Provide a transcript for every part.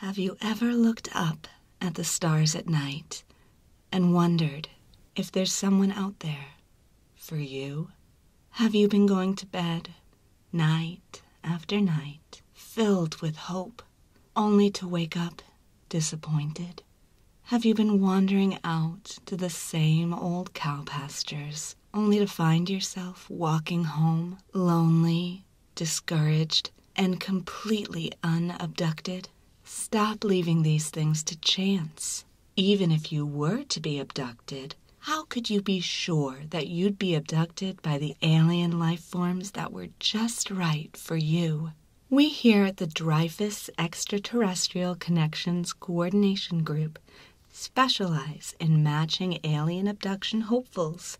Have you ever looked up at the stars at night and wondered if there's someone out there for you. Have you been going to bed night after night, filled with hope, only to wake up disappointed? Have you been wandering out to the same old cow pastures, only to find yourself walking home lonely, discouraged, and completely unabducted? Stop leaving these things to chance. Even if you were to be abducted, how could you be sure that you'd be abducted by the alien life forms that were just right for you? We here at the Dreyfus Extraterrestrial Connections Coordination Group specialize in matching alien abduction hopefuls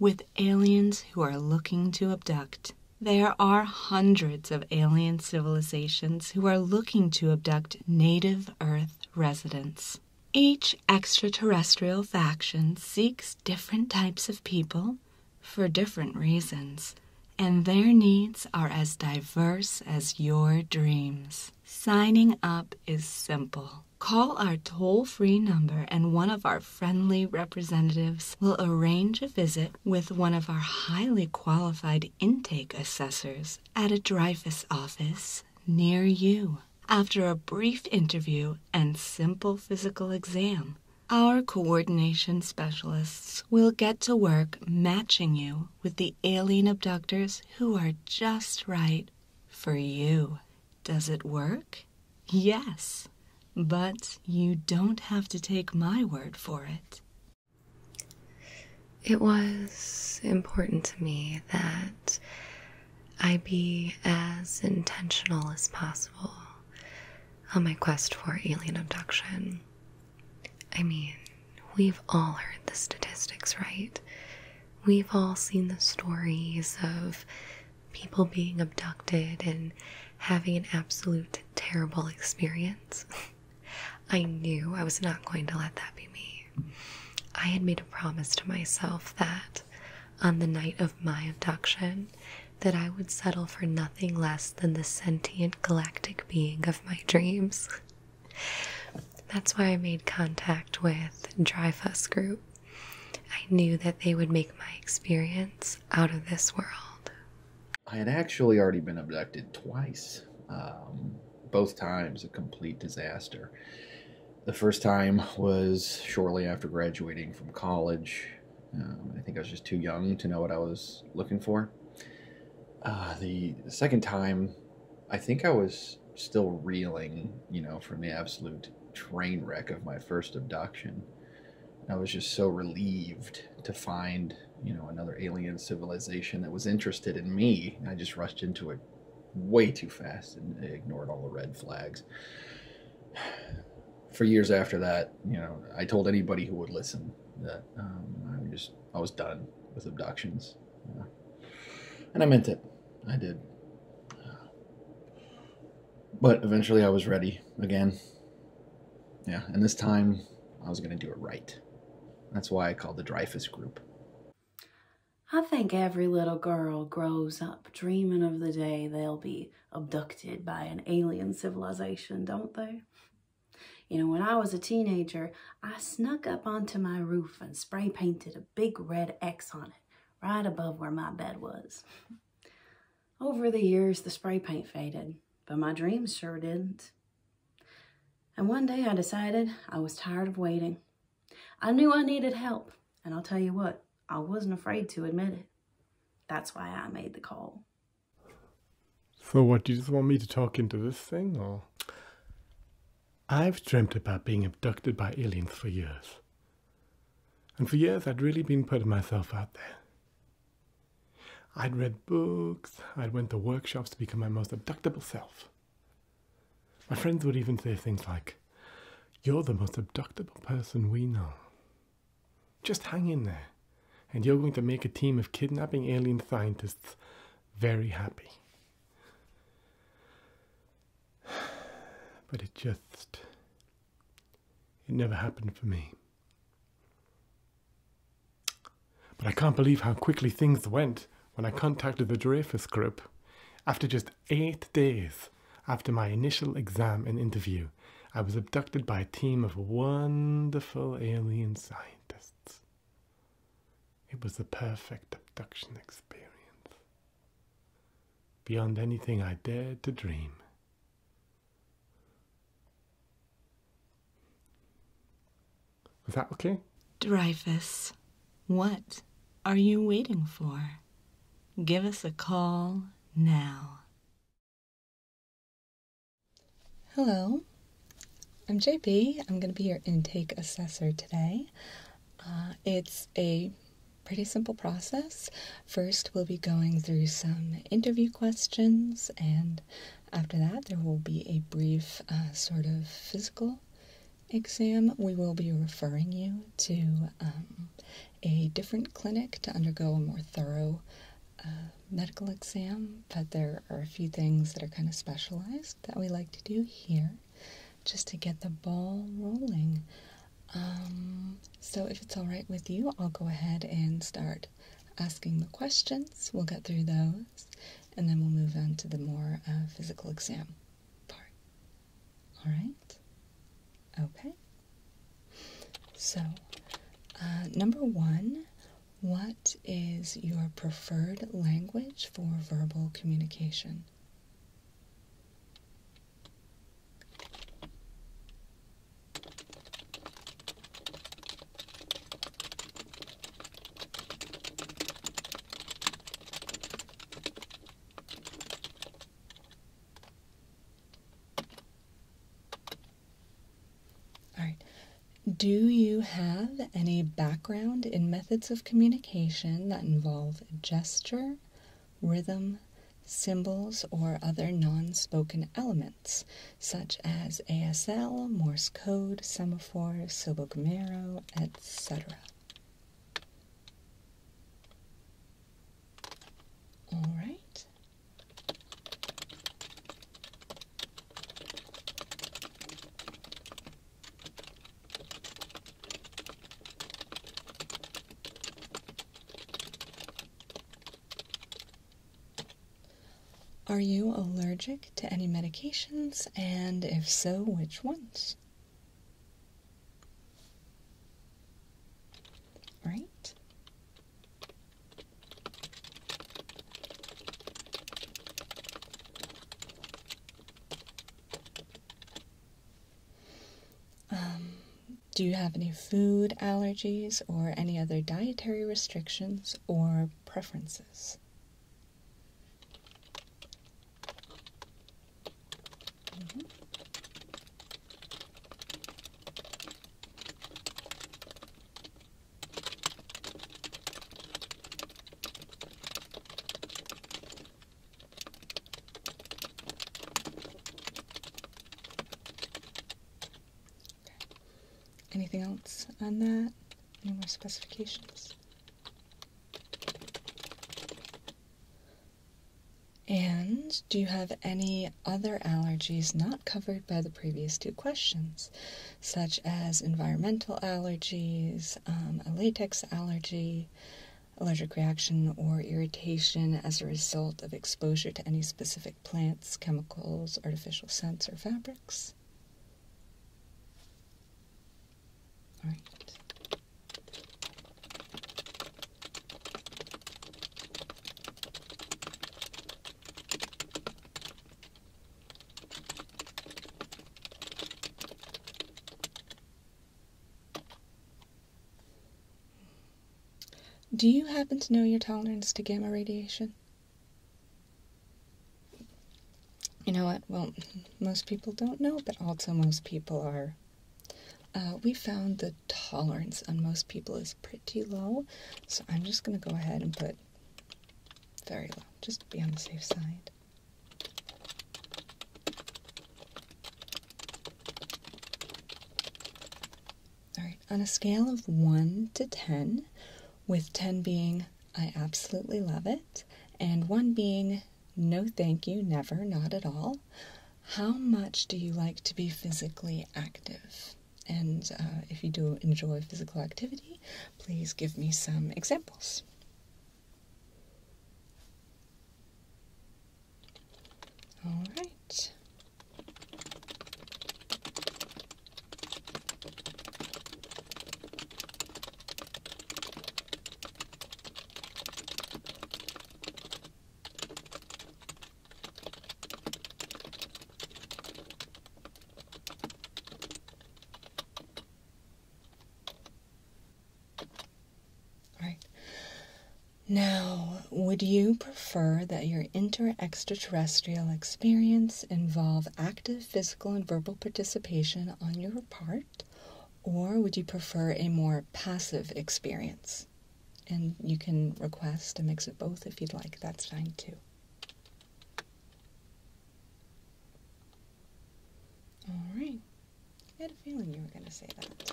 with aliens who are looking to abduct. There are hundreds of alien civilizations who are looking to abduct native Earth residents. Each extraterrestrial faction seeks different types of people for different reasons, and their needs are as diverse as your dreams. Signing up is simple. Call our toll free number, and one of our friendly representatives will arrange a visit with one of our highly qualified intake assessors at a Dreyfus office near you. After a brief interview and simple physical exam, our coordination specialists will get to work matching you with the alien abductors who are just right for you. Does it work? Yes, but you don't have to take my word for it. It was important to me that I be as intentional as possible on my quest for alien abduction. I mean, we've all heard the statistics, right? We've all seen the stories of people being abducted and having an absolute terrible experience. I knew I was not going to let that be me. I had made a promise to myself that on the night of my abduction that I would settle for nothing less than the sentient galactic being of my dreams. That's why I made contact with Dreyfus Group. I knew that they would make my experience out of this world I had actually already been abducted twice, um, both times a complete disaster. The first time was shortly after graduating from college. Um, I think I was just too young to know what I was looking for. Uh, the second time, I think I was still reeling, you know, from the absolute train wreck of my first abduction. I was just so relieved to find, you know, another alien civilization that was interested in me. I just rushed into it way too fast and ignored all the red flags. For years after that, you know, I told anybody who would listen that um, I just I was done with abductions, and I meant it. I did. But eventually, I was ready again. Yeah, and this time I was going to do it right. That's why I called the Dreyfus Group. I think every little girl grows up dreaming of the day they'll be abducted by an alien civilization, don't they? You know, when I was a teenager, I snuck up onto my roof and spray painted a big red X on it, right above where my bed was. Over the years, the spray paint faded, but my dreams sure didn't. And one day I decided I was tired of waiting. I knew I needed help, and I'll tell you what, I wasn't afraid to admit it. That's why I made the call. So what, do you just want me to talk into this thing, or? I've dreamt about being abducted by aliens for years. And for years I'd really been putting myself out there. I'd read books, I'd went to workshops to become my most abductable self. My friends would even say things like, You're the most abductable person we know. Just hang in there, and you're going to make a team of kidnapping alien scientists very happy. But it just. it never happened for me. But I can't believe how quickly things went when I contacted the Dreyfus Group. After just eight days after my initial exam and interview, I was abducted by a team of wonderful alien scientists. It was the perfect abduction experience, beyond anything I dared to dream. Is that okay? Dreyfus, what are you waiting for? Give us a call now. Hello, I'm JP. I'm going to be your intake assessor today. Uh, it's a pretty simple process. First, we'll be going through some interview questions and after that, there will be a brief uh, sort of physical exam. We will be referring you to um, a different clinic to undergo a more thorough uh, medical exam, but there are a few things that are kind of specialized that we like to do here just to get the ball rolling. Um, so, if it's all right with you, I'll go ahead and start asking the questions. We'll get through those and then we'll move on to the more uh, physical exam part. All right? Okay. So, uh, number one, what is your preferred language for verbal communication? All right. Do you have any background in methods of communication that involve gesture, rhythm, symbols, or other non spoken elements? such as ASL, Morse code, semaphore, sobogomero, etc. All right. Are you allergic to any medications, and if so, which ones? Right? Um, do you have any food allergies or any other dietary restrictions or preferences. Anything else on that? Any more specifications? And do you have any other allergies not covered by the previous two questions, such as environmental allergies, um, a latex allergy, allergic reaction, or irritation as a result of exposure to any specific plant? chemicals, artificial scents, or fabrics. Do you happen to know your tolerance to gamma radiation? You know what? Well, most people don't know, but also most people are. Uh, we found the tolerance on most people is pretty low, so I'm just going to go ahead and put very low, just be on the safe side. All right, on a scale of 1 to 10, with 10 being I absolutely love it, and 1 being no thank you, never, not at all, how much do you like to be physically active? And uh, if you do enjoy physical activity, please give me some examples. All right. All right. Now, would you prefer that your inter extraterrestrial experience involve active physical and verbal participation on your part, or would you prefer a more passive experience? And you can request a mix of both if you'd like, that's fine too. Alright, I had a feeling you were going to say that.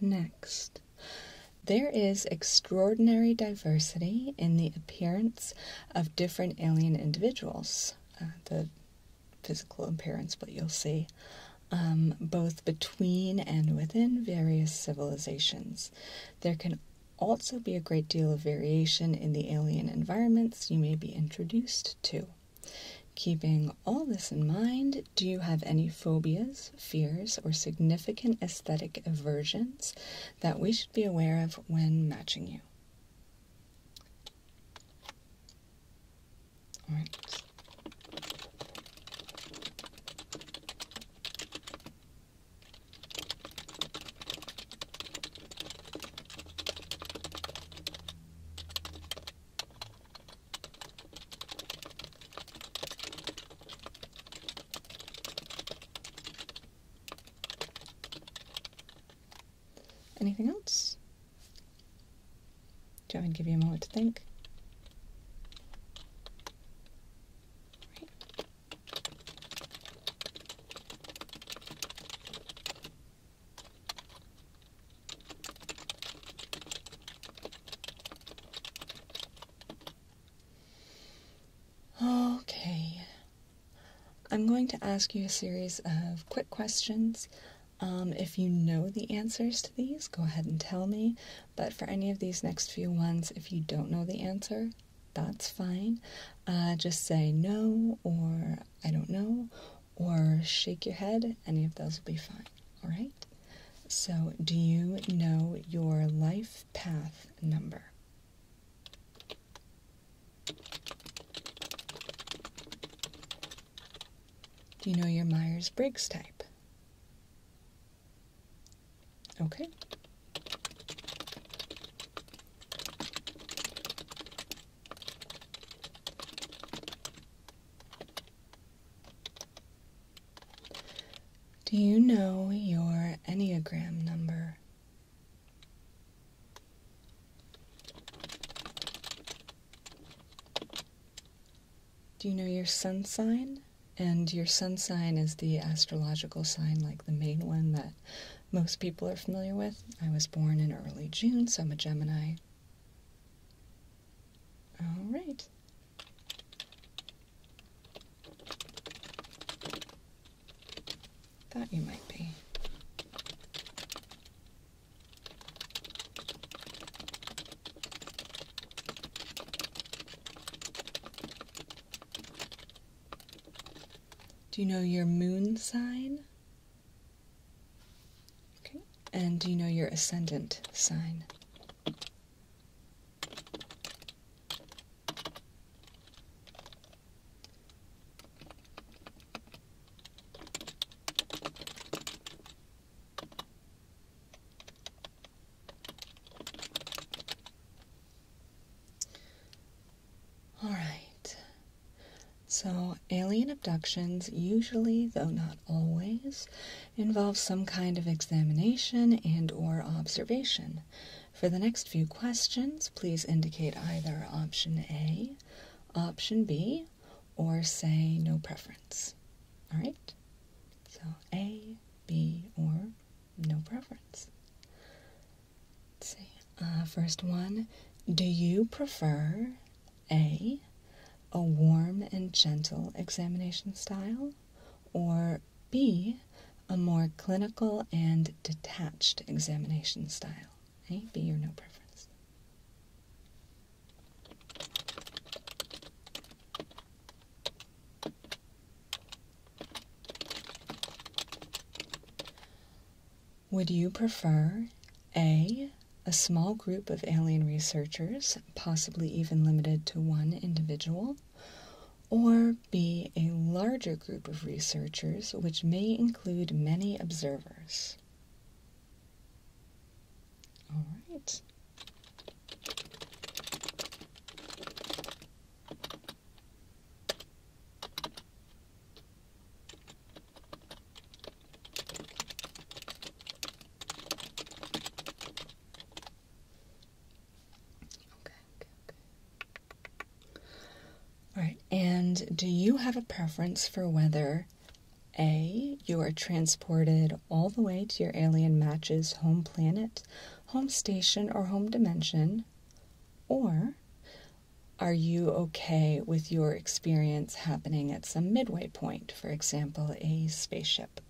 next. There is extraordinary diversity in the appearance of different alien individuals, uh, the physical appearance, but you'll see, um, both between and within various civilizations. There can also be a great deal of variation in the alien environments you may be introduced to. Keeping all this in mind, do you have any phobias, fears, or significant aesthetic aversions that we should be aware of when matching you? Anything else? Do I even give you a moment to think? Okay. I'm going to ask you a series of quick questions. Um, if you know the answers to these, go ahead and tell me. But for any of these next few ones, if you don't know the answer, that's fine. Uh, just say no or I don't know or shake your head. Any of those will be fine. All right? So, do you know your life path number? Do you know your Myers Briggs type? Okay. Do you know your Enneagram number? Do you know your sun sign? And your sun sign is the astrological sign, like the main one that most people are familiar with. I was born in early June, so I'm a Gemini. All right. Thought you might be. Do you know your moon sign? Okay. And do you know your ascendant sign? All right. So, alien abductions usually, though not always, involves some kind of examination and or observation. For the next few questions, please indicate either option A, option B, or say no preference. All right? So A, B, or no preference. Let's see. Uh, first one, do you prefer A, a warm and gentle examination style, or B, a more clinical and detached examination style? A, B, or no preference? Would you prefer A, a small group of alien researchers, possibly even limited to one individual, or be a larger group of researchers, which may include many observers. All right. Okay, okay, All right, and do you have a preference for whether A, you are transported all the way to your alien match's home planet, home station, or home dimension, or are you okay with your experience happening at some midway point, for example, a spaceship?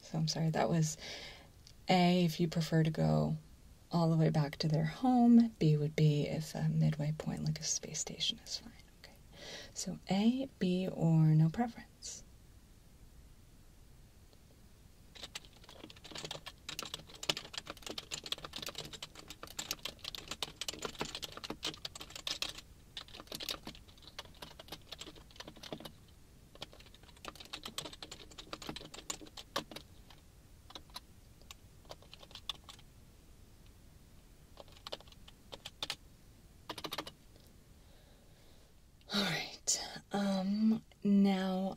So I'm sorry, that was A, if you prefer to go all the way back to their home. B would be if a midway point like a space station is fine. Okay. So A, B, or no preference. All right. Um, now,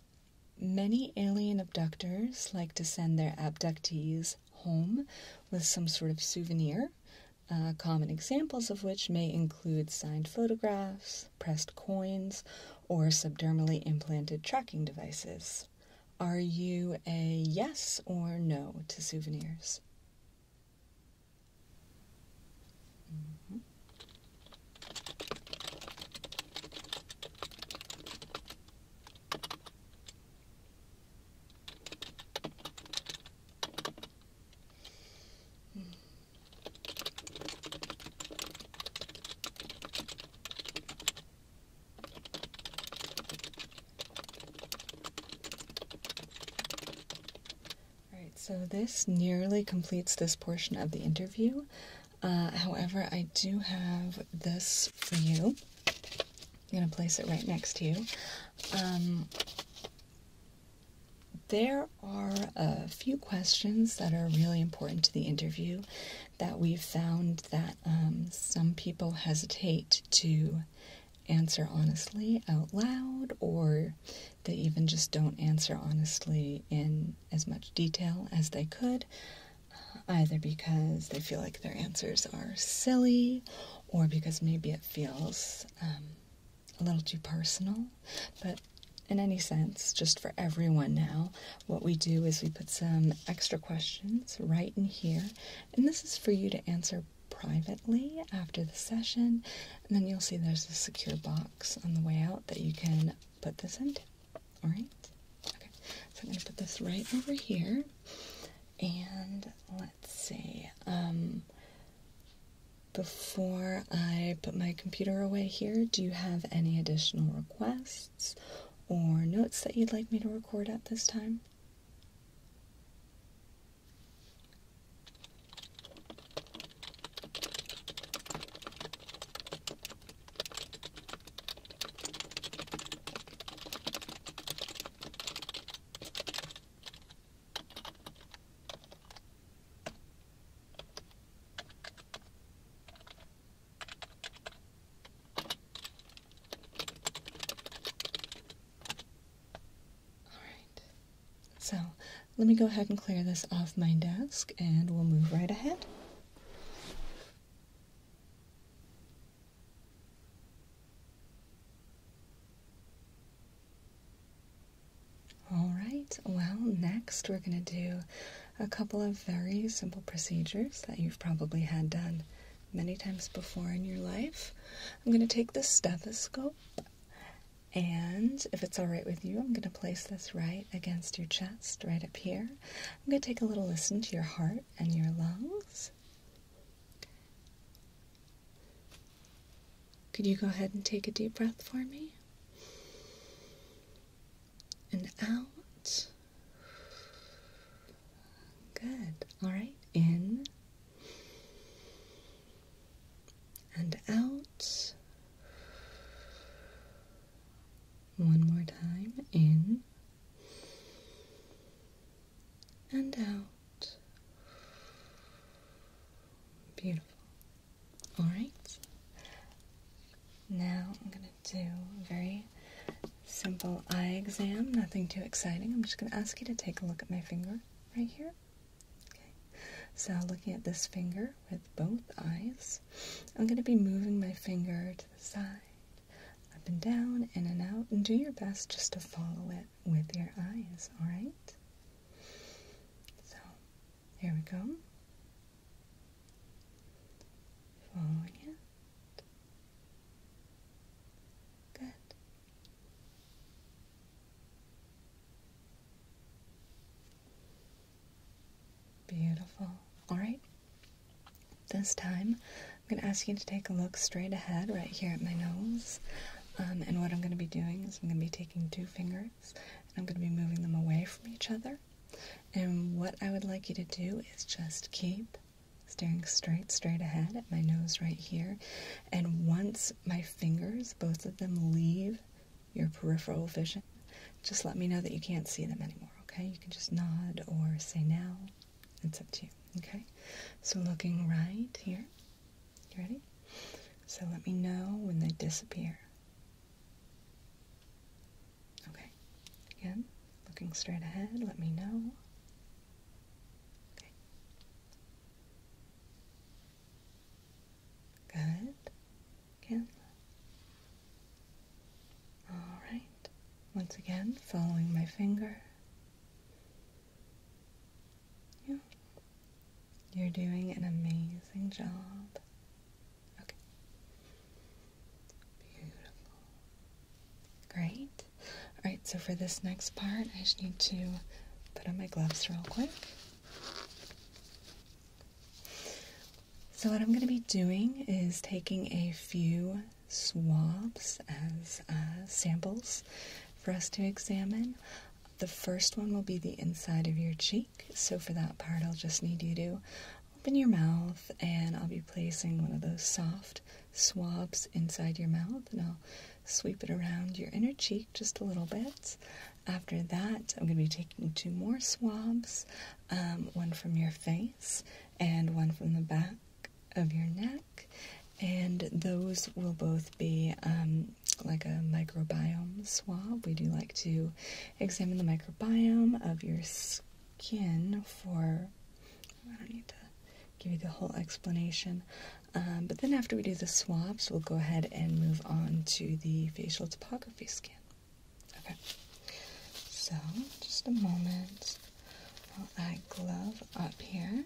many alien abductors like to send their abductees home with some sort of souvenir uh, common examples of which may include signed photographs, pressed coins, or subdermally implanted tracking devices. Are you a yes or no to souvenirs? Mm-hmm. Alright, so this nearly completes this portion of the interview. Uh, however, I do have this for you. I'm going to place it right next to you. Um, there are a few questions that are really important to the interview that we've found that um, some people hesitate to answer honestly out loud or they even just don't answer honestly in as much detail as they could uh, either because they feel like their answers are silly or because maybe it feels um, a little too personal, but in any sense, just for everyone now, what we do is we put some extra questions right in here, and this is for you to answer privately after the session, and then you'll see there's a secure box on the way out that you can put this in. All right? Okay, so I'm going to put this right over here, and let's see. Um, before I put my computer away here, do you have any additional requests or notes that you'd like me to record at this time? Alright, so let me go ahead and clear this off my desk and we'll move right ahead. All right, well, next we're going to do a couple of very simple procedures that you've probably had done many times before in your life. I'm going to take the stethoscope, and if it's all right with you, I'm going to place this right against your chest, right up here. I'm going to take a little listen to your heart and your lungs. Could you go ahead and take a deep breath for me? And out. Good. All right. In. And out. One more time. In. And out. Beautiful. Alright. Now I'm going to do a very simple eye exam, nothing too exciting. I'm just going to ask you to take a look at my finger right here. Okay. So, looking at this finger with both eyes, I'm going to be moving my finger to the side, up and down, in and out, and do your best just to follow it with your eyes, alright? So, here we go. Following it. Good. Beautiful. Alright. This time, I'm going to ask you to take a look straight ahead right here at my nose. Um, and what I'm going to be doing is I'm going to be taking two fingers, I'm going to be moving them away from each other. And what I would like you to do is just keep staring straight, straight ahead at my nose right here. And once my fingers, both of them, leave your peripheral vision, just let me know that you can't see them anymore, okay? You can just nod or say no. It's up to you, okay? So looking right here. You ready? So let me know when they disappear. Okay. Again, looking straight ahead, let me know. Okay. Good. Again. All right. Once again, following my finger. Yeah. You're doing an amazing job. Okay. Beautiful. Great. Alright, so for this next part, I just need to put on my gloves real quick. So, what I'm going to be doing is taking a few swabs as uh, samples for us to examine. The first one will be the inside of your cheek. So, for that part, I'll just need you to open your mouth and I'll be placing one of those soft swabs inside your mouth and I'll sweep it around your inner cheek just a little bit. After that, I'm going to be taking two more swabs um, one from your face and one from the back of your neck. And those will both be um, like a microbiome swab. We do like to examine the microbiome of your skin for. I don't need to give you the whole explanation. Um, but then after we do the swabs, we'll go ahead and move on to the facial topography scan. Okay. So, just a moment while I glove up here.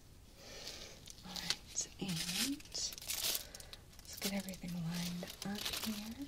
Alright, and let's get everything lined up here.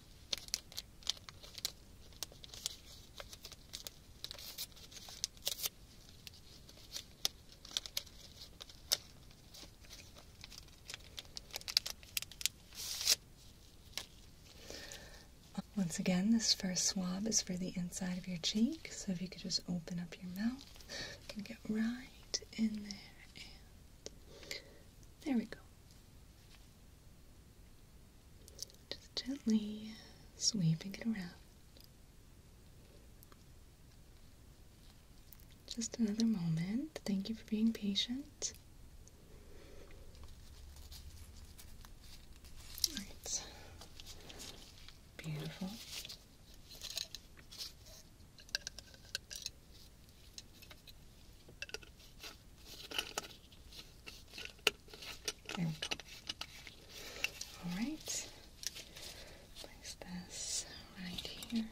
Once again, this first swab is for the inside of your cheek, so if you could just open up your mouth, you can get right in there, and there we go. Just gently sweeping it around. Just another moment. Thank you for being patient. Alright. Beautiful. All right. Place this right here.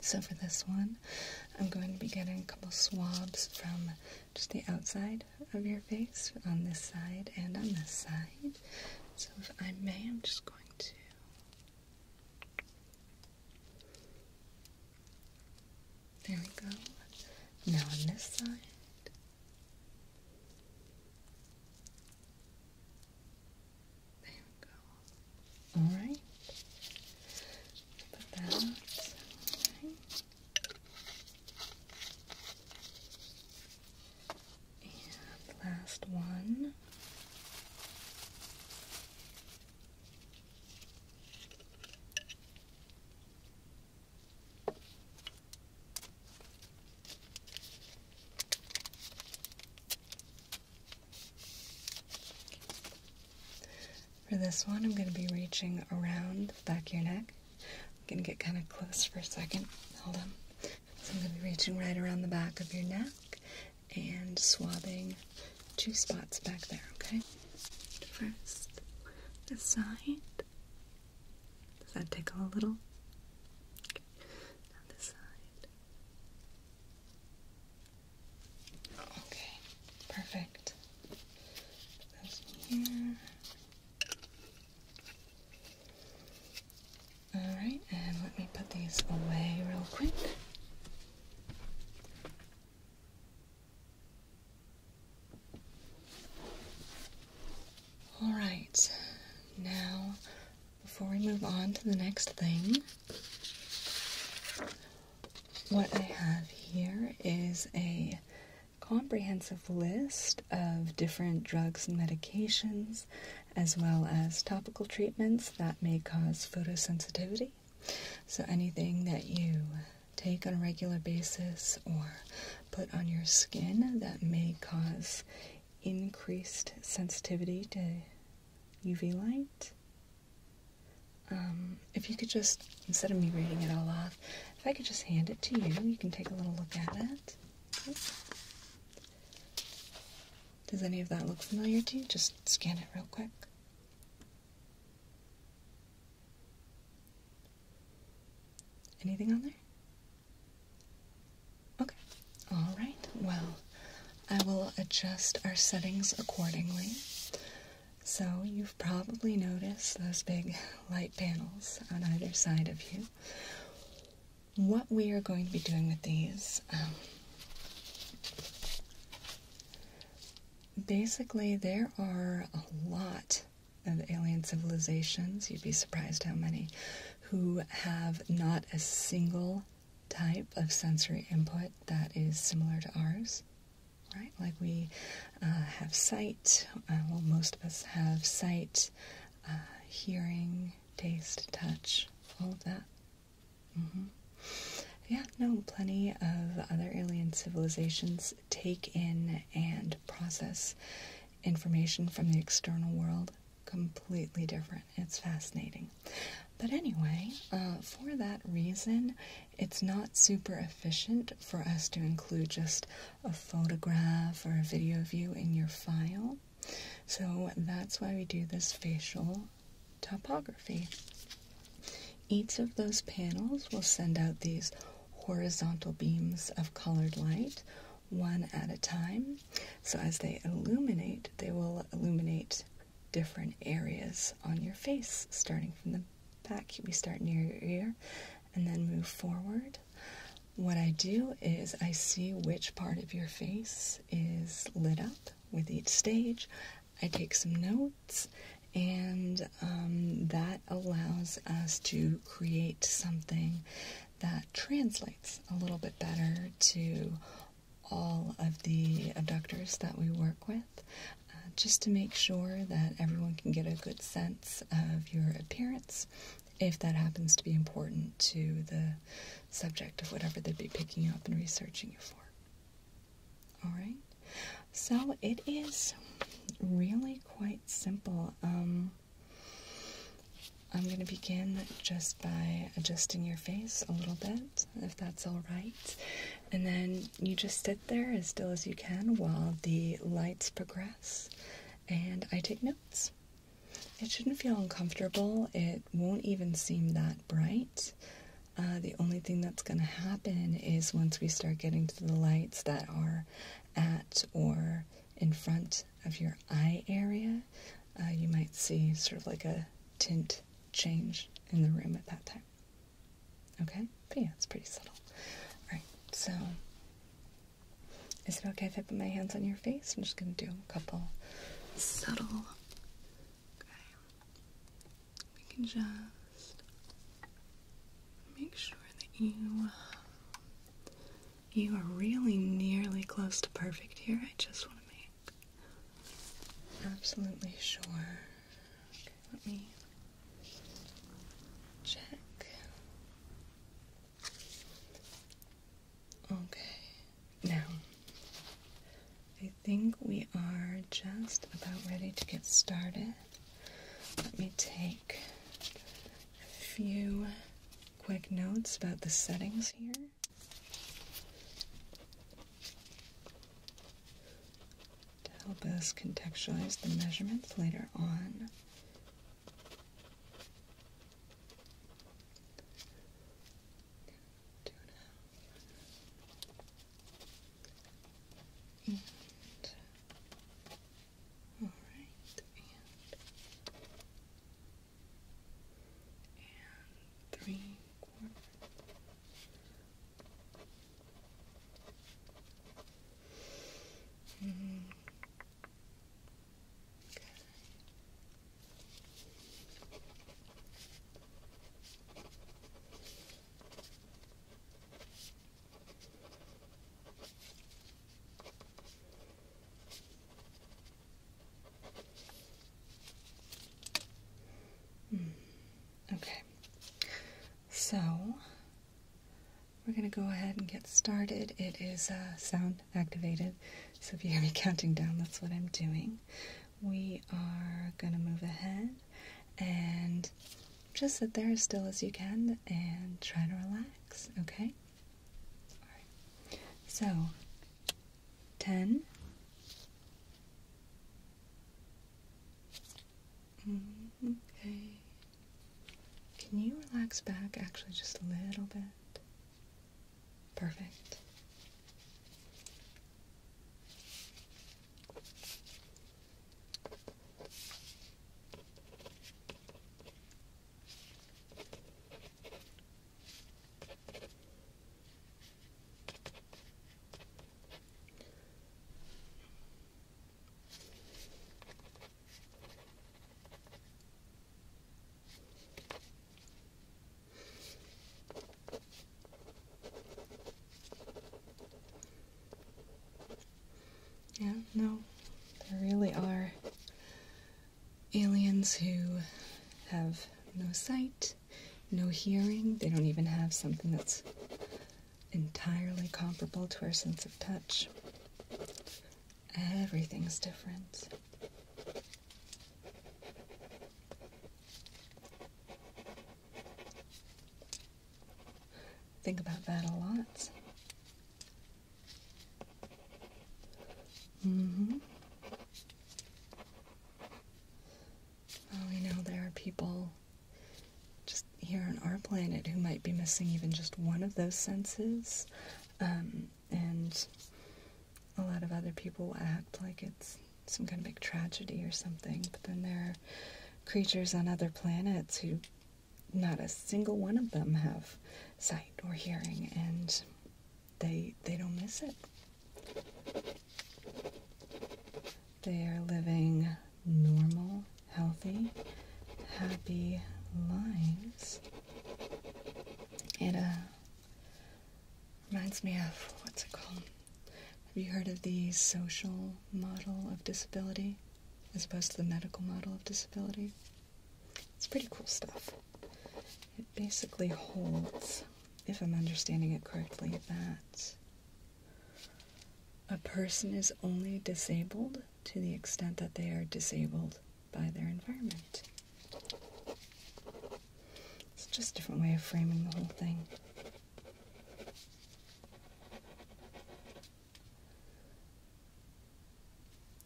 So for this one, I'm going to be getting a couple swabs from just the outside of your face on this side and on this side. So if I may, I'm just going to There we go. Now on this side. There we go. All right. Put that. And last one. For this one, I'm going to be reaching around the back of your neck. I'm going to get kind of close for a second. Hold on. So I'm going to be reaching right around the back of your neck and swabbing two spots back there, okay? First, the side. Does that tickle a little? Okay. Now side. Okay, perfect. Alright, and let me put these away real quick. Alright, now before we move on to the next thing, what I have here is a comprehensive list of different drugs and medications, as well as topical treatments that may cause photosensitivity. So, anything that you take on a regular basis or put on your skin that may cause increased sensitivity to UV light. Um, if you could just, instead of me reading it all off, if I could just hand it to you, you can take a little look at it. Does any of that look familiar to you? Just scan it real quick. Anything on there? Okay. All right. Well, I will adjust our settings accordingly. So, you've probably noticed those big light panels on either side of you. What we are going to be doing with these, um, basically, there are a lot of alien civilizations. You'd be surprised how many who have not a single type of sensory input that is similar to ours, right? Like we uh, have sight, uh, well, most of us have sight, uh, hearing, taste, touch, all of that. Mm-hmm. Yeah, no, plenty of other alien civilizations take in and process information from the external world completely different. It's fascinating. But anyway, uh, for that reason, it's not super efficient for us to include just a photograph or a video view in your file. So that's why we do this facial topography. Each of those panels will send out these horizontal beams of colored light one at a time. So, as they illuminate, they will illuminate different areas on your face, starting from the back. We start near your ear and then move forward. What I do is I see which part of your face is lit up with each stage. I take some notes, and um, that allows us to create something that translates a little bit better to all of the abductors that we work with uh, just to make sure that everyone can get a good sense of your appearance if that happens to be important to the subject of whatever they'd be picking you up and researching you for. All right, so it is really quite simple. Um, I'm going to begin just by adjusting your face a little bit, if that's all right. And then you just sit there as still as you can while the lights progress and I take notes. It shouldn't feel uncomfortable, it won't even seem that bright. Uh, the only thing that's going to happen is once we start getting to the lights that are at or in front of your eye area, uh, you might see sort of like a tint change in the room at that time. Okay? But yeah, it's pretty subtle. Alright, so is it okay if I put my hands on your face? I'm just going to do a couple subtle. Okay. We can just make sure that you. Uh, you are really nearly close to perfect here. I just want to make absolutely sure. let me check. Okay, now I think we are just about ready to get started. Let me take a few quick notes about the settings here to help us contextualize the measurements later on. all right, and three Okay. Hmm. Okay. So we're going to go ahead and get started. It is uh, sound activated, so if you hear me counting down, that's what I'm doing. We are going to move ahead and just sit there as still as you can and try to relax, okay? So ten. Mm, okay. Can you relax back actually just a little bit? Perfect. Yeah, no, there really are aliens who have no sight, no hearing, they don't even have something that's entirely comparable to our sense of touch. Everything's different. Think about that a lot. Mm-hmm. we know there are people just here on our planet who might be missing even just one of those senses. Um, and a lot of other people will act like it's some kind of big tragedy or something. But then there are creatures on other planets who not a single one of them have sight or hearing. And they they don't miss it. They are living normal, healthy, happy lives. It uh, reminds me of what's it called? Have you heard of the social model of disability as opposed to the medical model of disability? It's pretty cool stuff. It basically holds, if I'm understanding it correctly, that a person is only disabled to the extent that they are disabled by their environment. It's just a different way of framing the whole thing.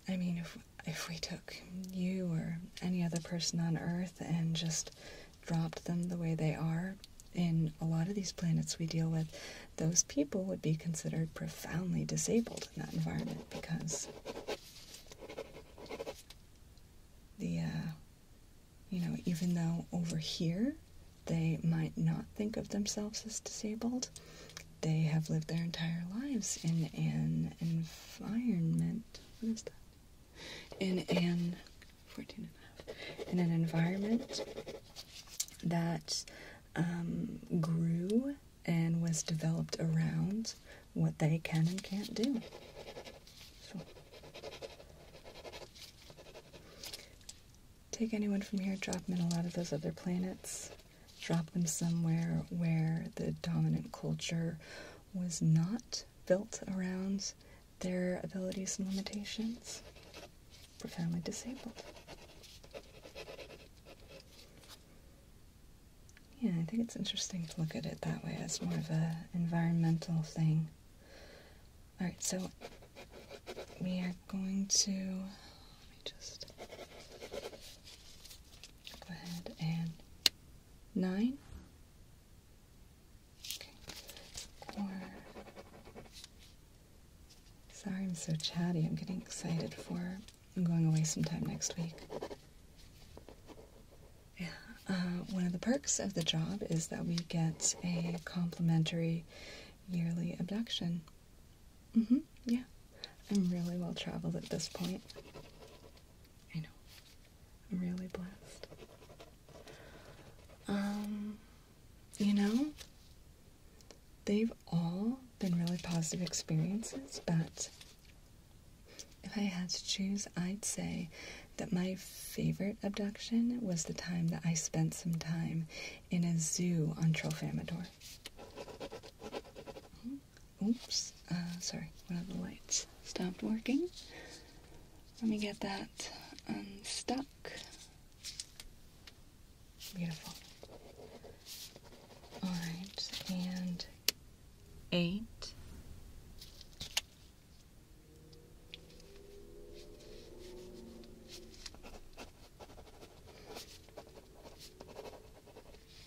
I mean, if if we took you or any other person on Earth and just dropped them the way they are, in a lot of these planets we deal with, those people would be considered profoundly disabled in that environment because the, uh, you know, even though over here they might not think of themselves as disabled, they have lived their entire lives in an environment what is that? In an 14 In an environment that um, grew and was developed around what they can and can't do. Take anyone from here, drop them in a lot of those other planets, drop them somewhere where the dominant culture was not built around their abilities and limitations, profoundly disabled. Yeah, I think it's interesting to look at it that way. as more of an environmental thing. Alright, so we are going to. Let me just go ahead and nine. Okay. sorry, I'm so chatty. I'm getting excited for. I'm going away sometime next week. Yeah. Uh, one of the perks of the job is that we get a complimentary yearly abduction. hmm Yeah. I'm really well traveled at this point. I know. I'm really blessed. Um, you know, they've all been really positive experiences, but if I had to choose, I'd say that my favorite abduction was the time that I spent some time in a zoo on Troll Oops, uh, sorry, one of the lights stopped working. Let me get that unstuck. Beautiful. Alright, and eight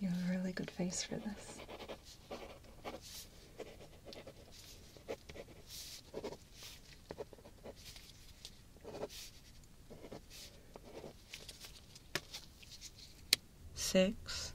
you have a really good face for this. Six.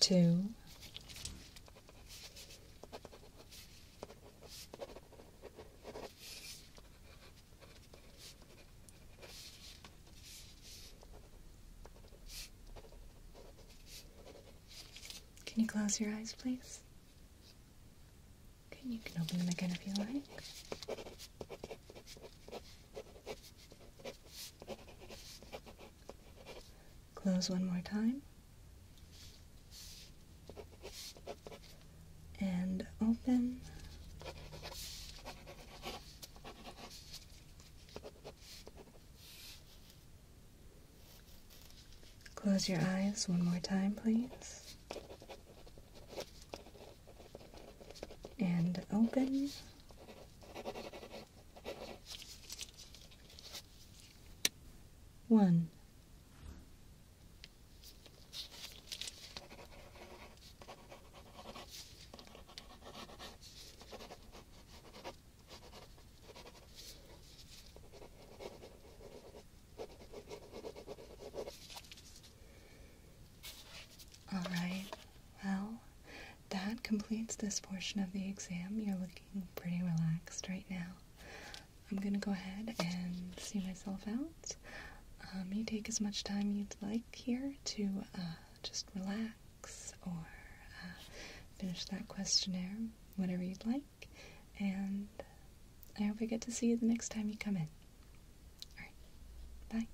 two, Can you close your eyes, please? Okay, you can open them again if you like. Close one more time. And open. Close your eyes one more time, please and open. One. All right, well, that completes this portion of the exam. You're looking pretty relaxed right now. I'm gonna go ahead and see myself out. Um, you take as much time you'd like here to uh, just relax or uh, finish that questionnaire, whatever you'd like. And I hope I get to see you the next time you come in. Alright, bye.